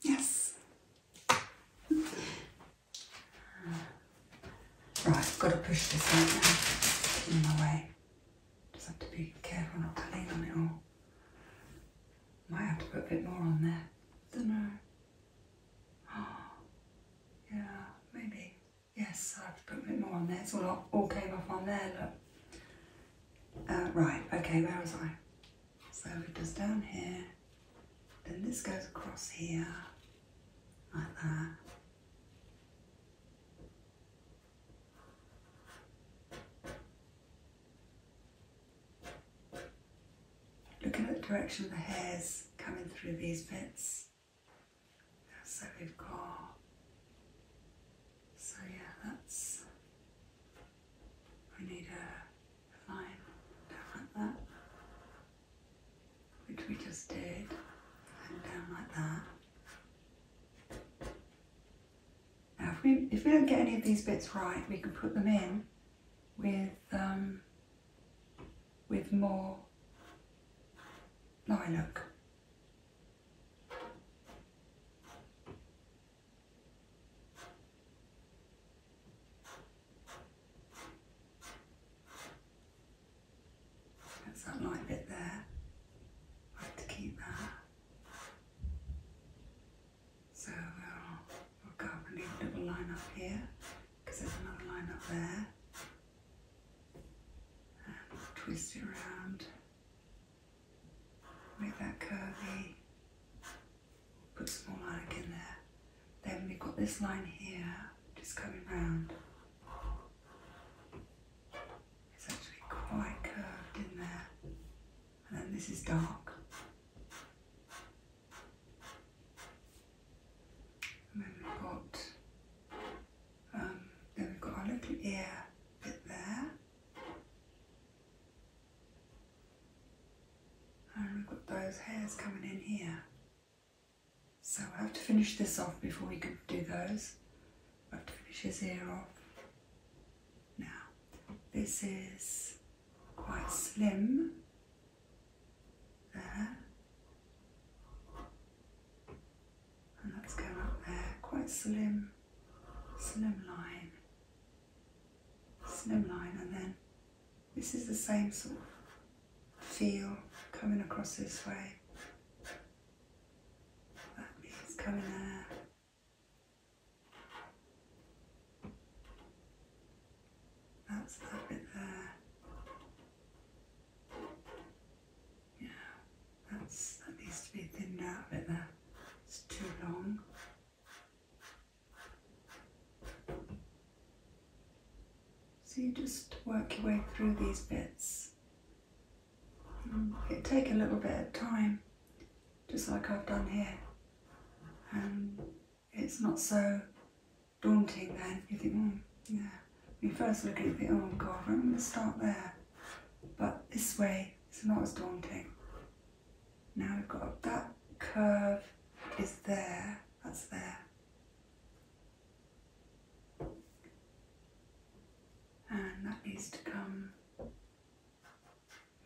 Yes. Right, I've got to push this out now. It's in my way. Just have to be careful not to lean on it all. Might have to put a bit more on there. Don't know. yeah, maybe. Yes, I have to put a bit more on there. It's all, all came off on there, look. Uh, right, okay, where was I? So it does down here, then this goes across here, like that. Looking at the direction of the hairs coming through these bits. So we've got, so yeah, that's, we need a fine, down like that, which we just did, down like that. Now if we, if we don't get any of these bits right, we can put them in with, um, with more lilac. That's that light bit there. I to keep that. So we'll, we'll go and leave a line up here because there's another line up there. And twist it around Make that curvy. Put some more lilac in there. Then we've got this line here, just coming round. It's actually quite curved in there. And then this is dark. And then we've got, um, then we've got our little ear bit there. And um, we've got those hairs coming in here. So I have to finish this off before we can do those. i have to finish his ear off. Now, this is quite slim. There. And that's going up there. Quite slim, slim line slimline and then this is the same sort of feel coming across this way. That means coming there. That's that bit there. Yeah, that needs to be thinned out a bit there. It's too long. So you just work your way through these bits. It takes a little bit of time, just like I've done here. And um, it's not so daunting then. You think, oh, yeah. When you first look at the, you oh God, I'm going to start there. But this way, it's not as daunting. Now we've got that curve is there, that's there. And that needs to come, I've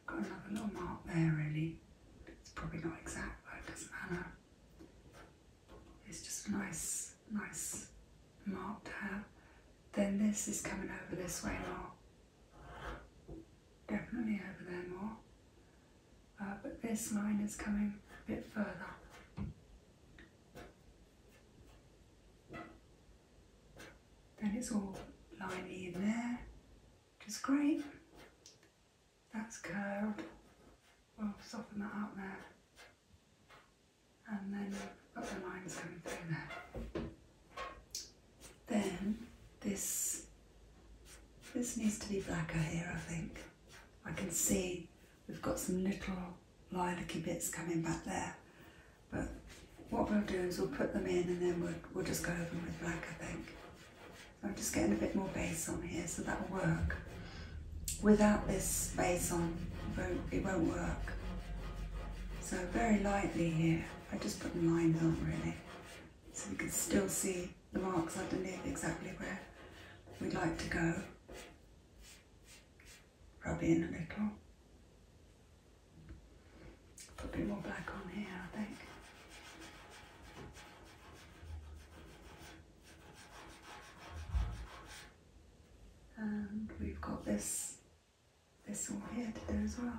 got another little mark there really. It's probably not exact, but it doesn't matter. It's just a nice, nice marked to Then this is coming over this way now definitely over there more. Uh, but this line is coming a bit further. Then it's all liney in there, which is great. That's curved. We'll soften that up there. And then we the lines coming through there. Then this, this needs to be blacker here, I think. I can see we've got some little lilac bits coming back there. But what we'll do is we'll put them in and then we'll, we'll just go over with black, I think. I'm just getting a bit more base on here, so that'll work. Without this base on, it won't work. So very lightly here. I just put lines on really, so we can still see the marks underneath exactly where we'd like to go. Rub in a little. Put a bit more black on here, I think. And we've got this there's some quiet there as well.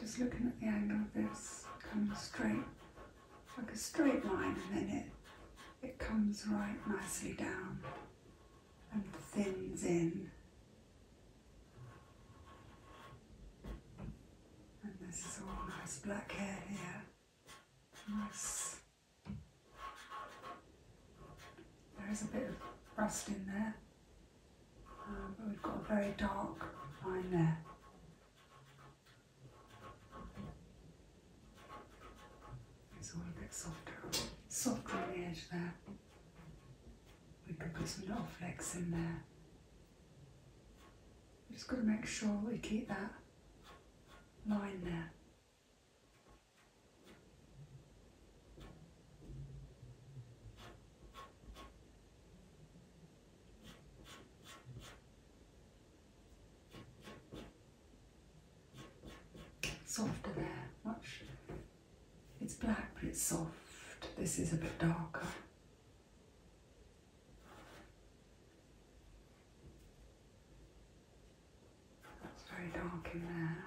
Just looking at the angle of this coming straight, like a straight line, and then it, it comes right nicely down and thins in. And this is all nice black hair here. Nice. There is a bit of rust in there, um, but we've got a very dark line there. It's a little bit softer, softer on the edge there. We could put some little flecks in there. We've just got to make sure we keep that line there. softer there, much it's black but it's soft. This is a bit darker. That's very dark in there.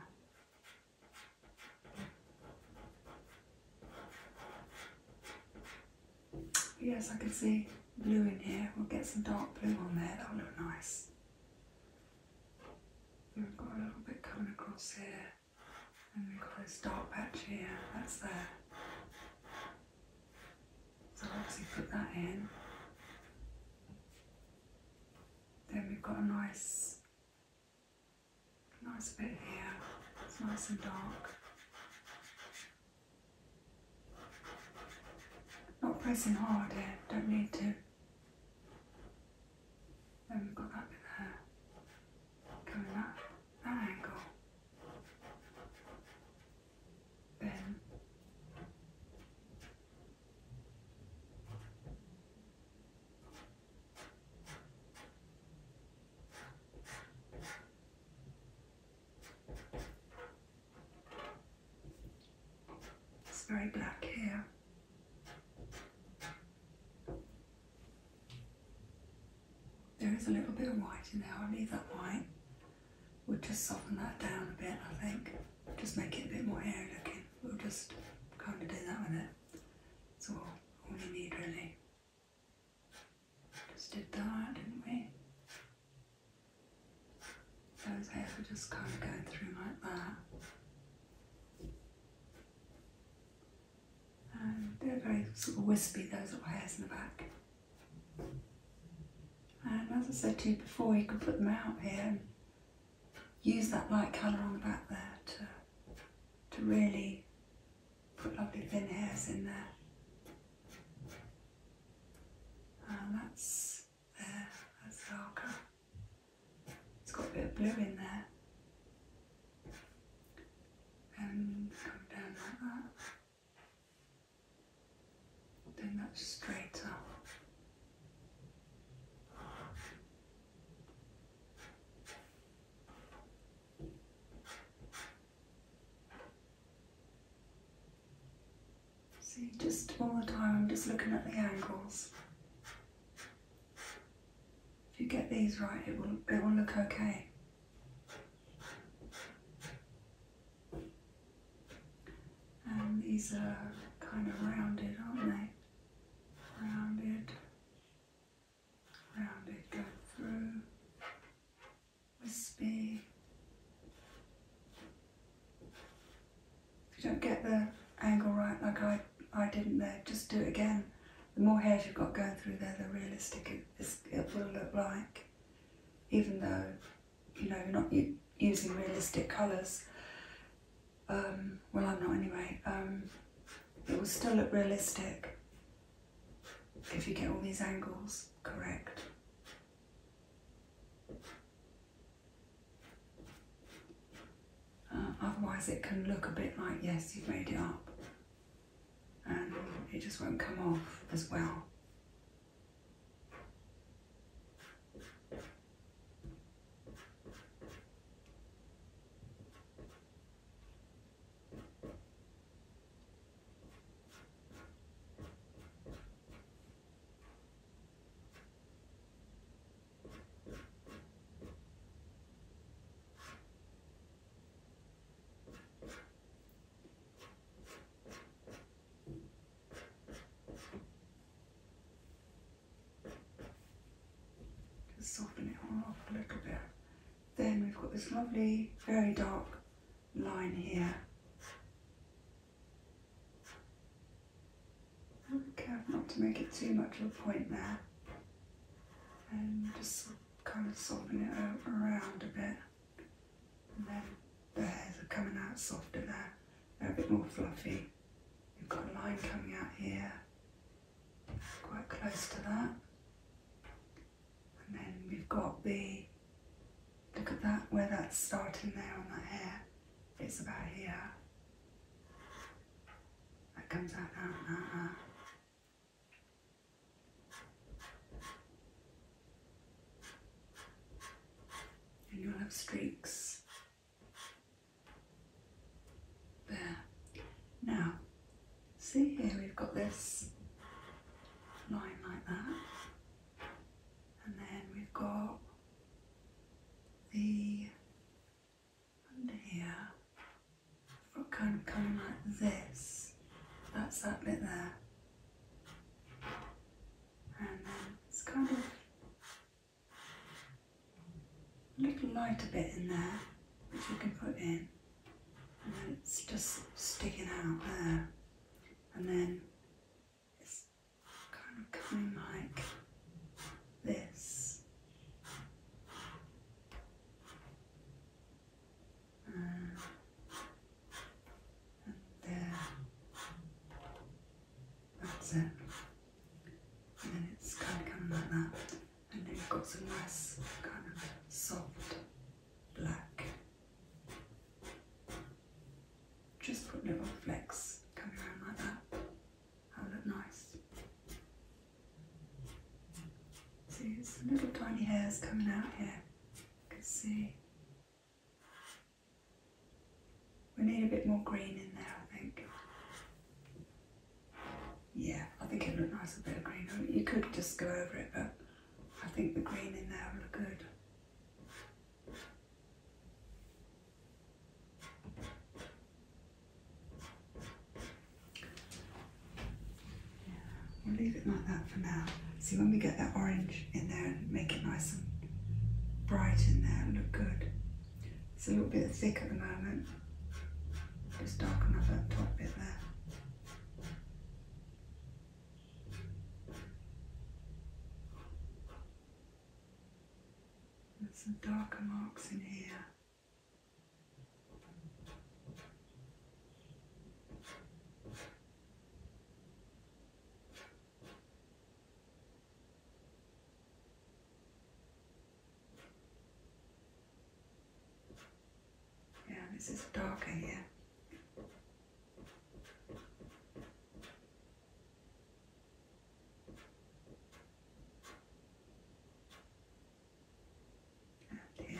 Yes, I can see blue in here. We'll get some dark blue on there. That'll look nice. We've got a little bit coming across here, and we've got this dark patch here, that's there. So obviously put that in. Then we've got a nice, nice bit here, it's nice and dark. Not pressing hard here, don't need to. Then we've got that bit there coming up that angle. Then it's very black hair. There is a little bit of white in there. I'll leave that white. We'll just soften that down a bit, I think. Just make it a bit more airy looking. We'll just kind of do that with it. That's all, all you need really. Just did that, didn't we? Those hairs if just kind of going through like that. And they're very sort of wispy, those little hairs in the back. And um, as I said to you before, you can put them out here and use that light colour on the back there to, to really put lovely thin hairs in there. And uh, that's there, that's darker. It's got a bit of blue in there. And come down like that. Then that's straighter. See, just all the time, I'm just looking at the angles. If you get these right, it will, it will look okay. And these are kind of rounded, aren't they? Rounded, rounded, go through, wispy, if you don't get the angle right like I, I didn't there, just do it again. The more hairs you've got going through there, the realistic it, will look like. Even though, you know, you're not using realistic colours. Um, well, I'm not anyway. Um, it will still look realistic if you get all these angles correct. Uh, otherwise it can look a bit like, yes, you've made it up. And it just won't come off as well. Just soften it all off a little bit. Then we've got this lovely, very dark line here I'm careful not to make it too much of a point there and um, just kind of softening it around a bit and then the hairs are coming out softer there, they're a bit more fluffy. we have got a line coming out here, quite close to that. And then we've got the Look at that, where that's starting there on that hair. It's about here. That comes out that, And you'll have streaks. There. Now, see here we've got this line like that and then we've got the under here kind of coming like this that's that bit there and then it's kind of a little lighter bit in there which you can put in and then it's just sticking out there and then it's kind of coming like this. and there. That's it. And then it's kind of coming like that. And then you've got some nice kind of soft black just put a little flex, coming around like that. That'll look nice. See, it's little tiny hairs coming out here. You can see. We need a bit more green in there, I think. Yeah, I think it'd look nice a bit of green. I mean, you could just go over it, but I think the green in there would look good we'll leave it like that for now. See when we get that orange in there and make it nice and bright in there look good. It's a little bit thick at the moment. Just darken up that top bit there. There's some darker marks in here. Yeah, this is darker here. And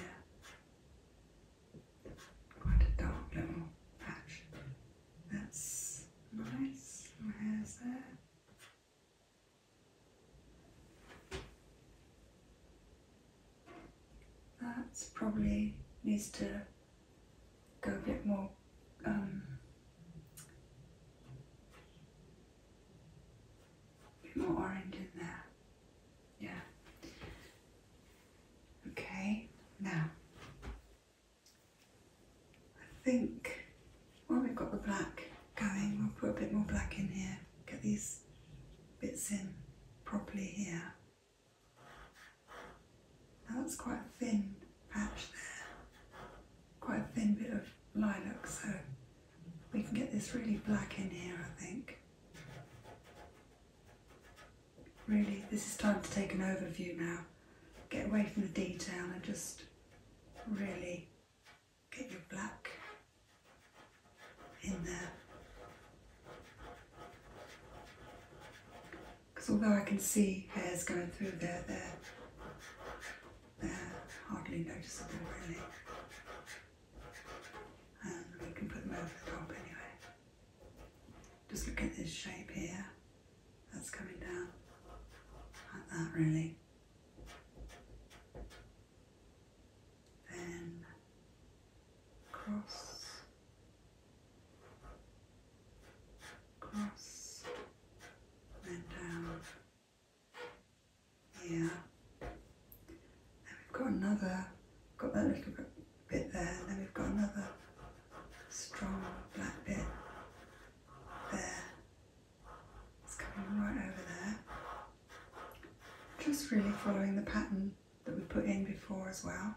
quite a dark little patch. That's nice. My hair's there. probably needs to go get more bit um, more orange in there. Yeah. Okay, now I think while we've got the black going, we'll put a bit more black in here, get these bits in properly here. That's quite a thin patch there, quite a thin bit of lilac, so we can get this really black in here, I think. Really, this is time to take an overview now. Get away from the detail and just really get your black in there. Because although I can see hairs going through there, they're, hardly noticeable really. And um, we can put them over the top anyway. Just look at this shape here, that's coming down, like that really. Then across across and down here. And we've got another, got that little bit, there, then we've got another strong black bit there. It's coming right over there. Just really following the pattern that we put in before as well.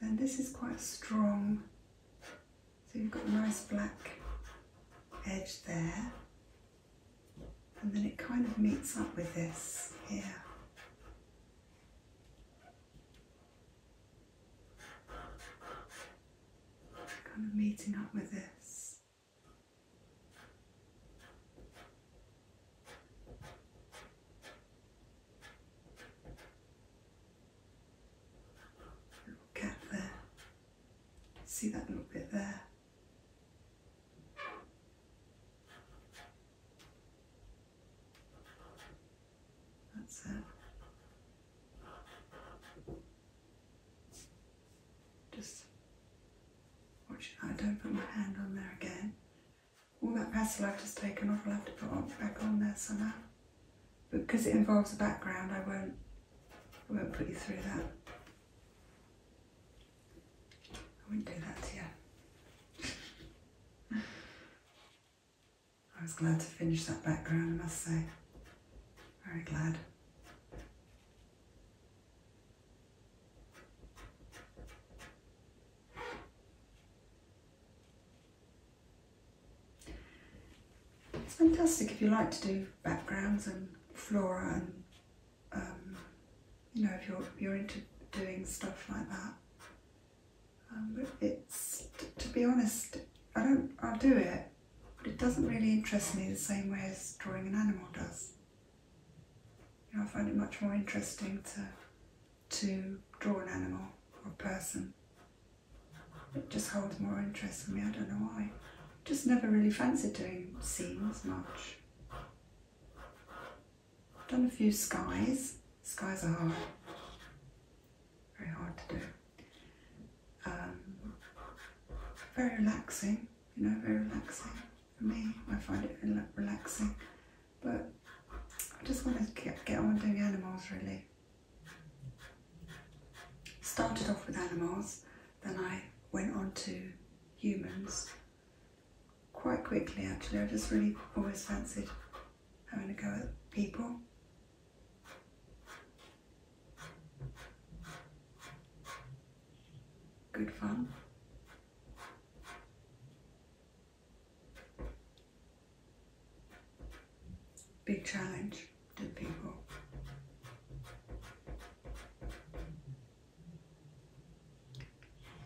And this is quite strong. So you've got a nice black edge there. And then it kind of meets up with this here. Kind of meeting up with this. Look out there. See that little bit there? That's it. Just watch it. I don't put my hand on there again all that pastel I've just taken off, I'll have to put on, back on there somehow. But because it involves a background, I won't, I won't put you through that. I wouldn't do that to you. I was glad to finish that background, I must say. Very glad. It's fantastic if you like to do backgrounds and flora and um, you know if you're you're into doing stuff like that. Um, it's to be honest, I don't I'll do it, but it doesn't really interest me the same way as drawing an animal does. I find it much more interesting to to draw an animal or a person. It just holds more interest for me, I don't know why. Just never really fancied doing scenes much. Done a few skies. Skies are Very hard to do. Um, very relaxing, you know, very relaxing for me. I find it relaxing, but I just want to get, get on doing animals really. Started off with animals, then I went on to humans quite quickly actually. I just really always fancied having a go at people. Good fun. Big challenge to people.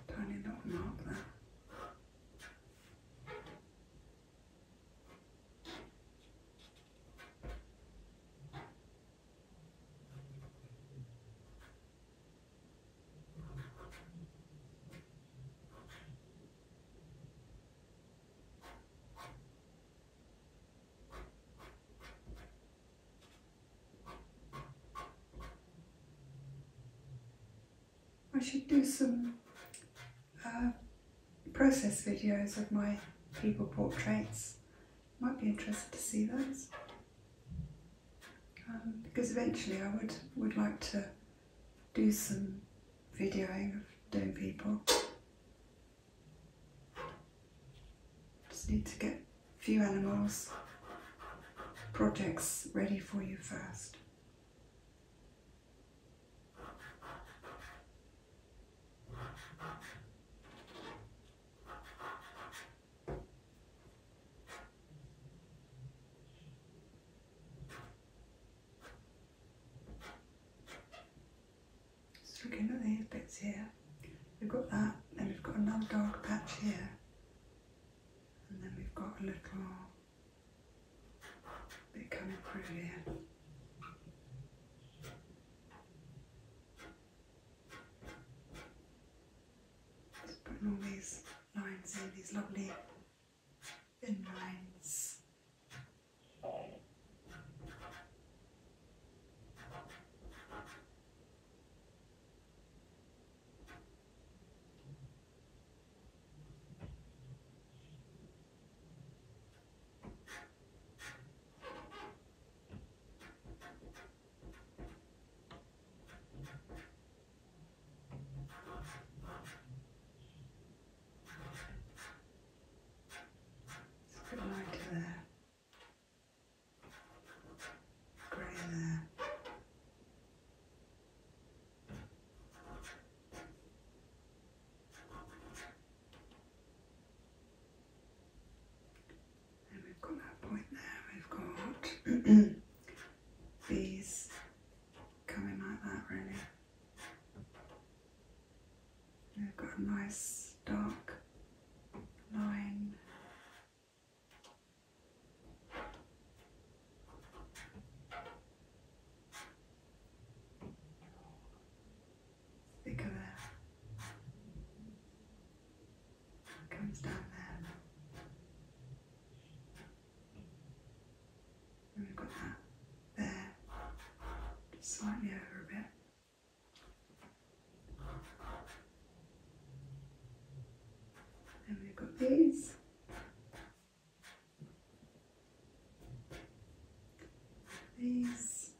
Tiny little mark there. I should do some uh, process videos of my people portraits. Might be interested to see those. Um, because eventually I would, would like to do some videoing of doing people. Just need to get a few animals, projects ready for you first. Just looking at these bits here, we've got that, then we've got another dark patch here, and then we've got a little bit coming through here putting all these lines in, these lovely thin lines. Put lighter there, grey there. And we've got that point there. We've got these coming like that, really. We've got a nice dark line. Thicker there. It comes down there. And we've got that there, just slightly over a bit. And we've got these. These